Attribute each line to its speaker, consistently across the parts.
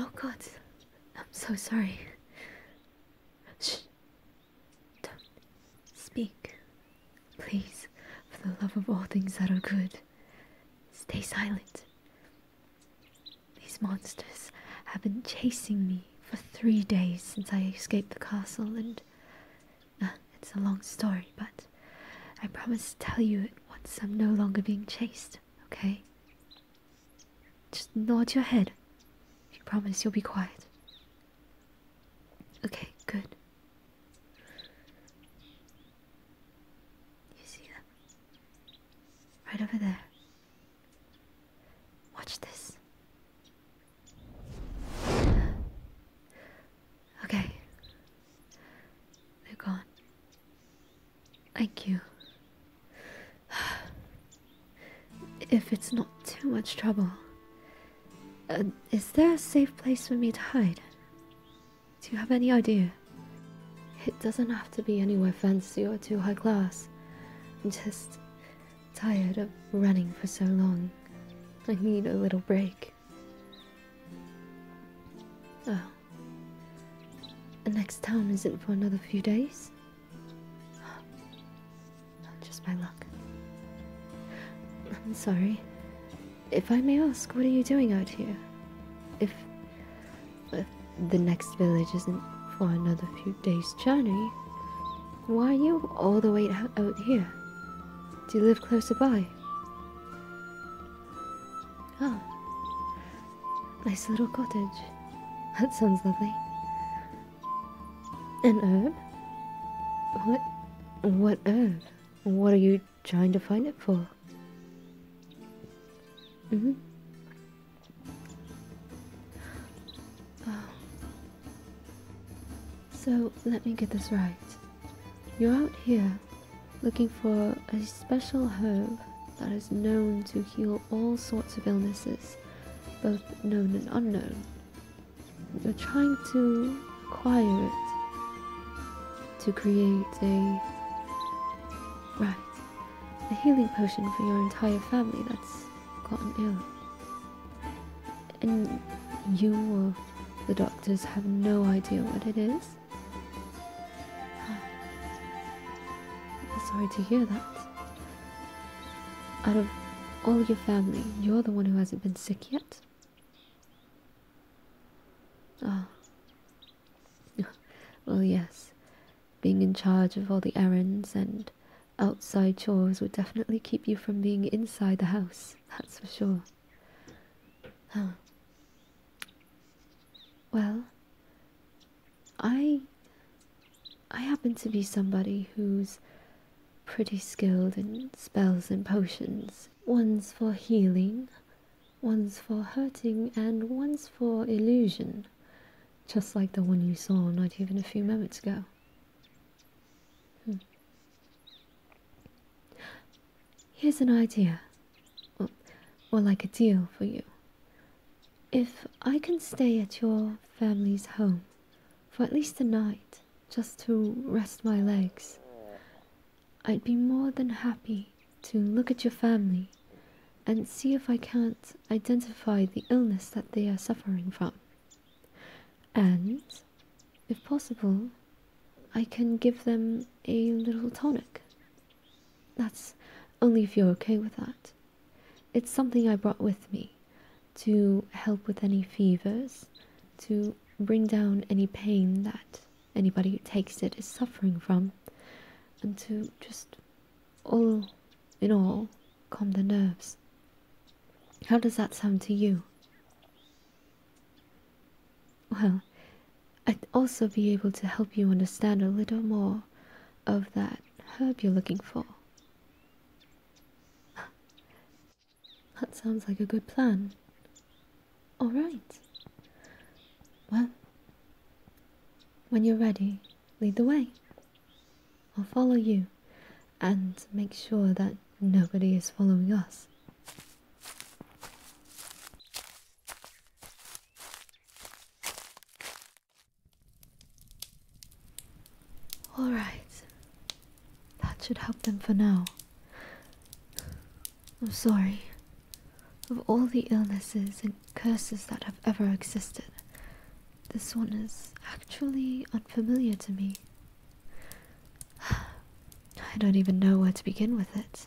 Speaker 1: Oh God, I'm so sorry. Shh. Don't speak. Please, for the love of all things that are good, stay silent. These monsters have been chasing me for three days since I escaped the castle, and uh, it's a long story, but I promise to tell you it once I'm no longer being chased, okay? Just nod your head if you promise you'll be quiet. Okay, good. You see them? Right over there. Watch this. Okay. They're gone. Thank you. If it's not too much trouble, uh, is there a safe place for me to hide? Do you have any idea? It doesn't have to be anywhere fancy or too high class. I'm just tired of running for so long. I need a little break. Oh. The next town isn't for another few days? Not Just by luck. I'm sorry. If I may ask, what are you doing out here? If the next village isn't for another few days' journey, why are you all the way out, here? Do you live closer by? Ah, nice little cottage. That sounds lovely. An herb? What? What herb? What are you trying to find it for? hmm so let me get this right. You're out here looking for a special herb that is known to heal all sorts of illnesses, both known and unknown. You're trying to acquire it to create a. Right a healing potion for your entire family that's gotten ill. And you or the doctors have no idea what it is? Sorry to hear that. Out of all your family, you're the one who hasn't been sick yet? Ah. Oh. well, yes. Being in charge of all the errands and outside chores would definitely keep you from being inside the house, that's for sure. Huh. Well, I I happen to be somebody who's pretty skilled in spells and potions. One's for healing, one's for hurting, and one's for illusion just like the one you saw not even a few moments ago. Hmm. Here's an idea, or, or like a deal for you. If I can stay at your family's home for at least a night, just to rest my legs, I'd be more than happy to look at your family and see if I can't identify the illness that they are suffering from. And, if possible, I can give them a little tonic. That's only if you're okay with that. It's something I brought with me to help with any fevers, to bring down any pain that anybody who takes it is suffering from, and to just all in all, calm the nerves. How does that sound to you? Well, I'd also be able to help you understand a little more of that herb you're looking for. That sounds like a good plan. All right. Well, when you're ready, lead the way. I'll follow you and make sure that nobody is following us. Alright, that should help them for now. I'm sorry. Of all the illnesses and curses that have ever existed. This one is actually unfamiliar to me. I don't even know where to begin with it,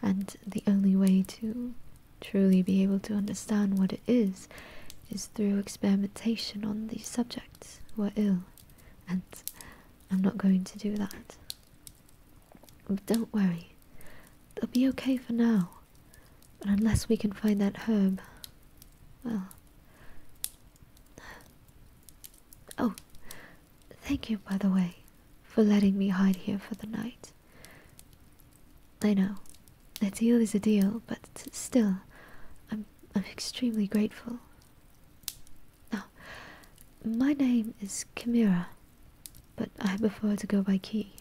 Speaker 1: and the only way to truly be able to understand what it is is through experimentation on these subjects who are ill, and I'm not going to do that. don't worry, they'll be okay for now. But unless we can find that herb, well. Oh, thank you, by the way, for letting me hide here for the night. I know, a deal is a deal, but still, I'm, I'm extremely grateful. Now, my name is Chimera, but I prefer to go by Key.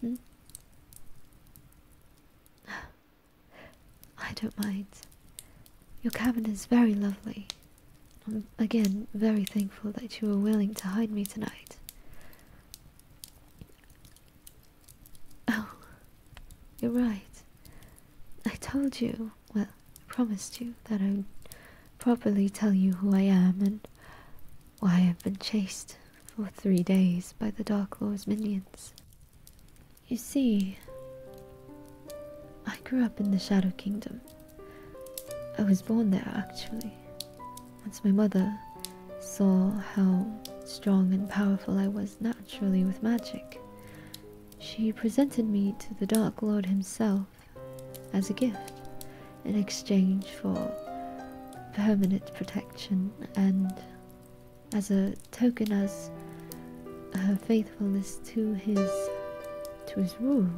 Speaker 1: Hmm? I don't mind. Your cabin is very lovely. I'm again very thankful that you were willing to hide me tonight. Oh, you're right. I told you, well, I promised you that I would properly tell you who I am and why I've been chased for three days by the Dark Lord's minions. You see, I grew up in the Shadow Kingdom. I was born there actually. Once my mother saw how strong and powerful I was naturally with magic, she presented me to the Dark Lord himself as a gift in exchange for permanent protection and as a token of her faithfulness to his to his rule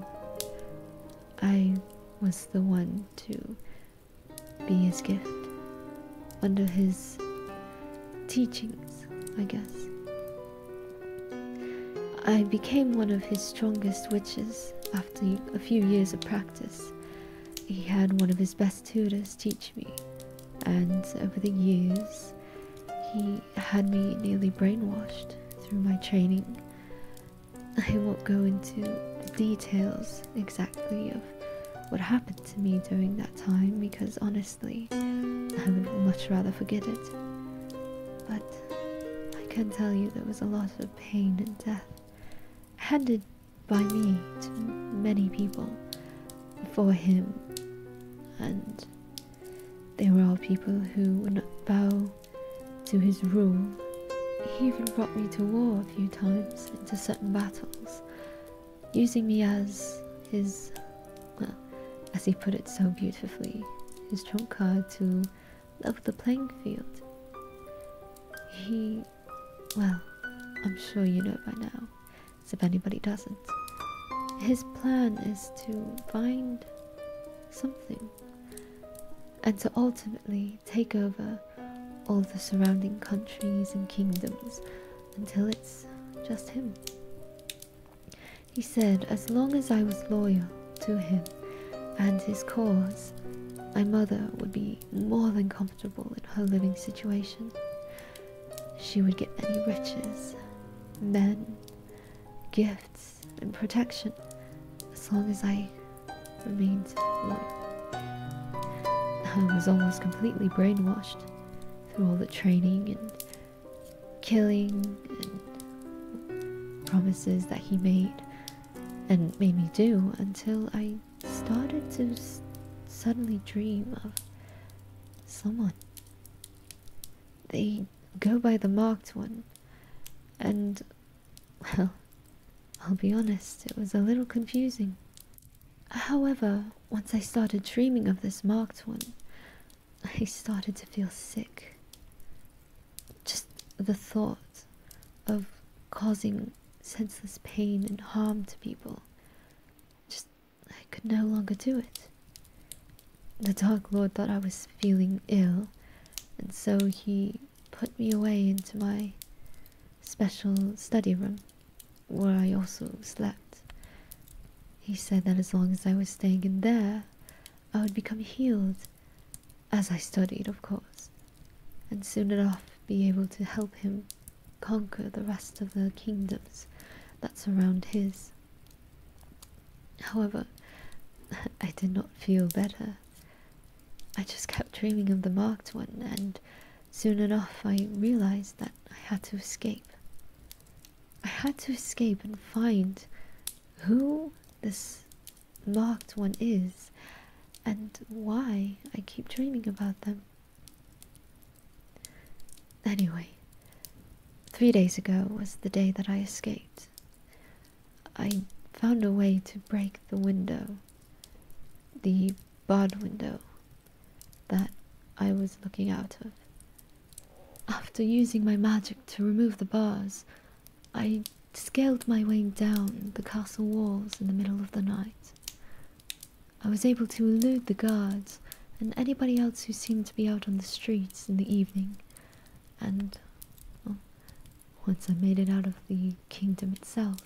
Speaker 1: I was the one to be his gift under his teachings I guess I became one of his strongest witches after a few years of practice he had one of his best tutors teach me, and over the years, he had me nearly brainwashed through my training. I won't go into the details exactly of what happened to me during that time because honestly, I would much rather forget it. But I can tell you there was a lot of pain and death. I had to by me to many people for him, and they were all people who would not bow to his rule. He even brought me to war a few times into certain battles, using me as his, well, as he put it so beautifully, his trump card to level the playing field. He well, I'm sure you know by now, if anybody doesn't. His plan is to find something and to ultimately take over all the surrounding countries and kingdoms until it's just him. He said, as long as I was loyal to him and his cause, my mother would be more than comfortable in her living situation. She would get any riches, men, gifts, and protection as long as I remained loyal. I was almost completely brainwashed through all the training and killing and promises that he made and made me do until I started to suddenly dream of someone. They go by the marked one, and well, I'll be honest, it was a little confusing. However, once I started dreaming of this marked one, I started to feel sick. Just the thought of causing senseless pain and harm to people. Just, I could no longer do it. The Dark Lord thought I was feeling ill, and so he put me away into my special study room, where I also slept. He said that as long as I was staying in there, I would become healed, as I studied, of course. And soon enough, be able to help him conquer the rest of the kingdoms that surround his. However, I did not feel better. I just kept dreaming of the marked one, and soon enough I realized that I had to escape. I had to escape and find who this Marked one is and why I keep dreaming about them. Anyway, three days ago was the day that I escaped. I found a way to break the window, the barred window that I was looking out of. After using my magic to remove the bars, I scaled my way down the castle walls in the middle of the night. I was able to elude the guards and anybody else who seemed to be out on the streets in the evening, and once I made it out of the kingdom itself,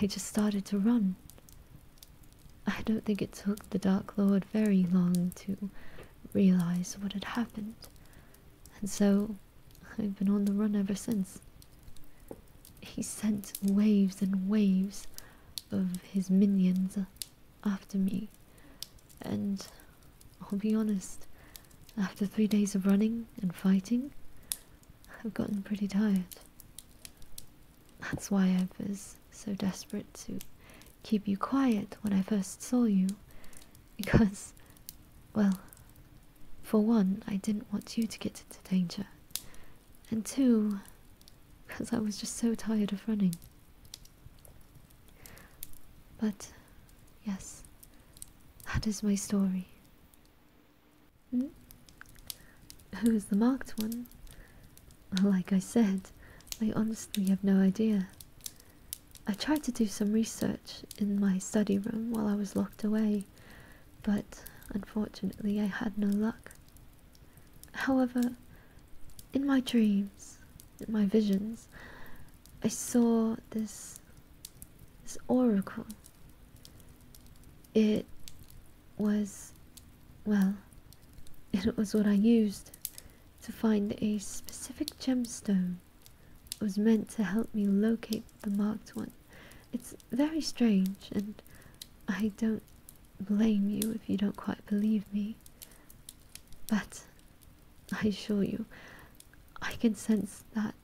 Speaker 1: I just started to run. I don't think it took the Dark Lord very long to realize what had happened, and so I've been on the run ever since. He sent waves and waves of his minions after me, and I'll be honest, after three days of running and fighting, I've gotten pretty tired. That's why I was so desperate to keep you quiet when I first saw you, because, well, for one, I didn't want you to get into danger, and two, because I was just so tired of running. But yes, that is my story. Hmm? Who's the marked one? Like I said, I honestly have no idea. I tried to do some research in my study room while I was locked away, but unfortunately I had no luck. However, in my dreams, in my visions, I saw this this oracle. It was well, it was what I used to find a specific gemstone. It was meant to help me locate the marked one. It very strange, and I don't blame you if you don't quite believe me. But I assure you, I can sense that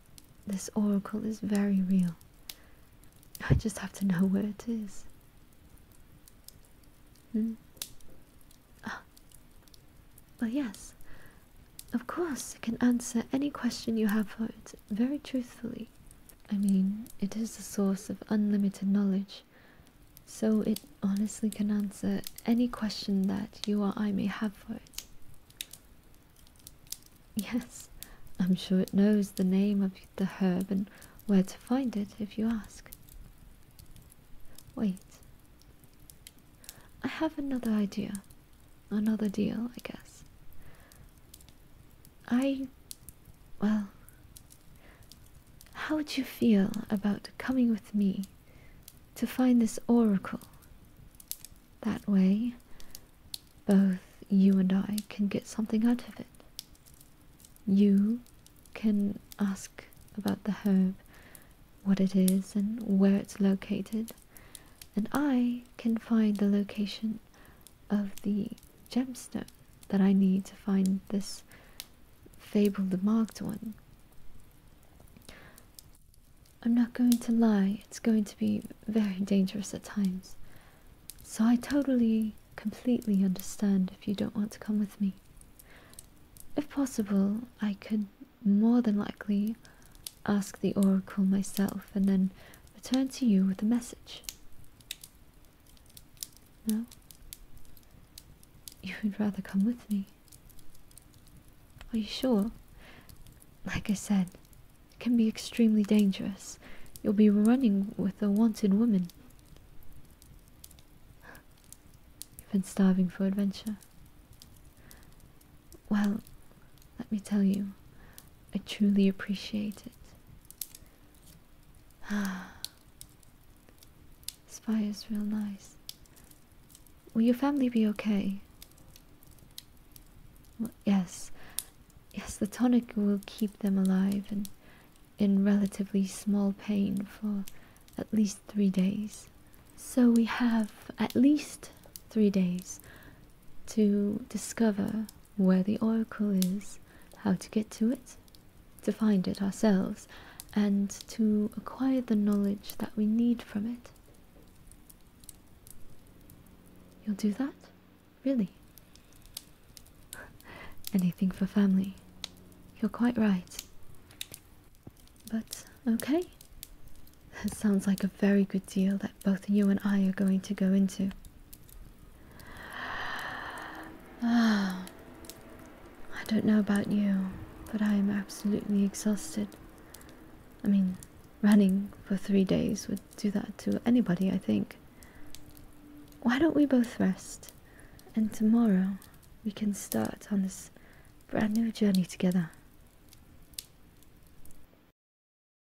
Speaker 1: this oracle is very real. I just have to know where it is. Hmm? Ah. Well, yes. Of course, it can answer any question you have for it very truthfully. I mean, it is a source of unlimited knowledge, so it honestly can answer any question that you or I may have for it. Yes, I'm sure it knows the name of the herb and where to find it if you ask. Wait, I have another idea another deal, I guess. I. well. How would you feel about coming with me to find this oracle? That way, both you and I can get something out of it. You can ask about the herb, what it is, and where it's located, and I can find the location of the gemstone that I need to find this fabled marked one. I'm not going to lie, it's going to be very dangerous at times. So I totally, completely understand if you don't want to come with me. If possible, I could more than likely ask the oracle myself and then return to you with a message? No? You would rather come with me. Are you sure? Like I said, it can be extremely dangerous. You'll be running with a wanted woman. You've been starving for adventure. Well, let me tell you, I truly appreciate it. this fire is real nice. Will your family be okay? yes. Yes, the tonic will keep them alive and in relatively small pain for at least three days. So we have at least three days to discover where the oracle is, how to get to it, to find it ourselves, and to acquire the knowledge that we need from it. You'll do that? Really? Anything for family. You're quite right. But okay. That sounds like a very good deal that both you and I are going to go into. Ah, I don't know about you, but I am absolutely exhausted. I mean, running for three days would do that to anybody, I think. Why don't we both rest? And tomorrow we can start on this brand new journey together.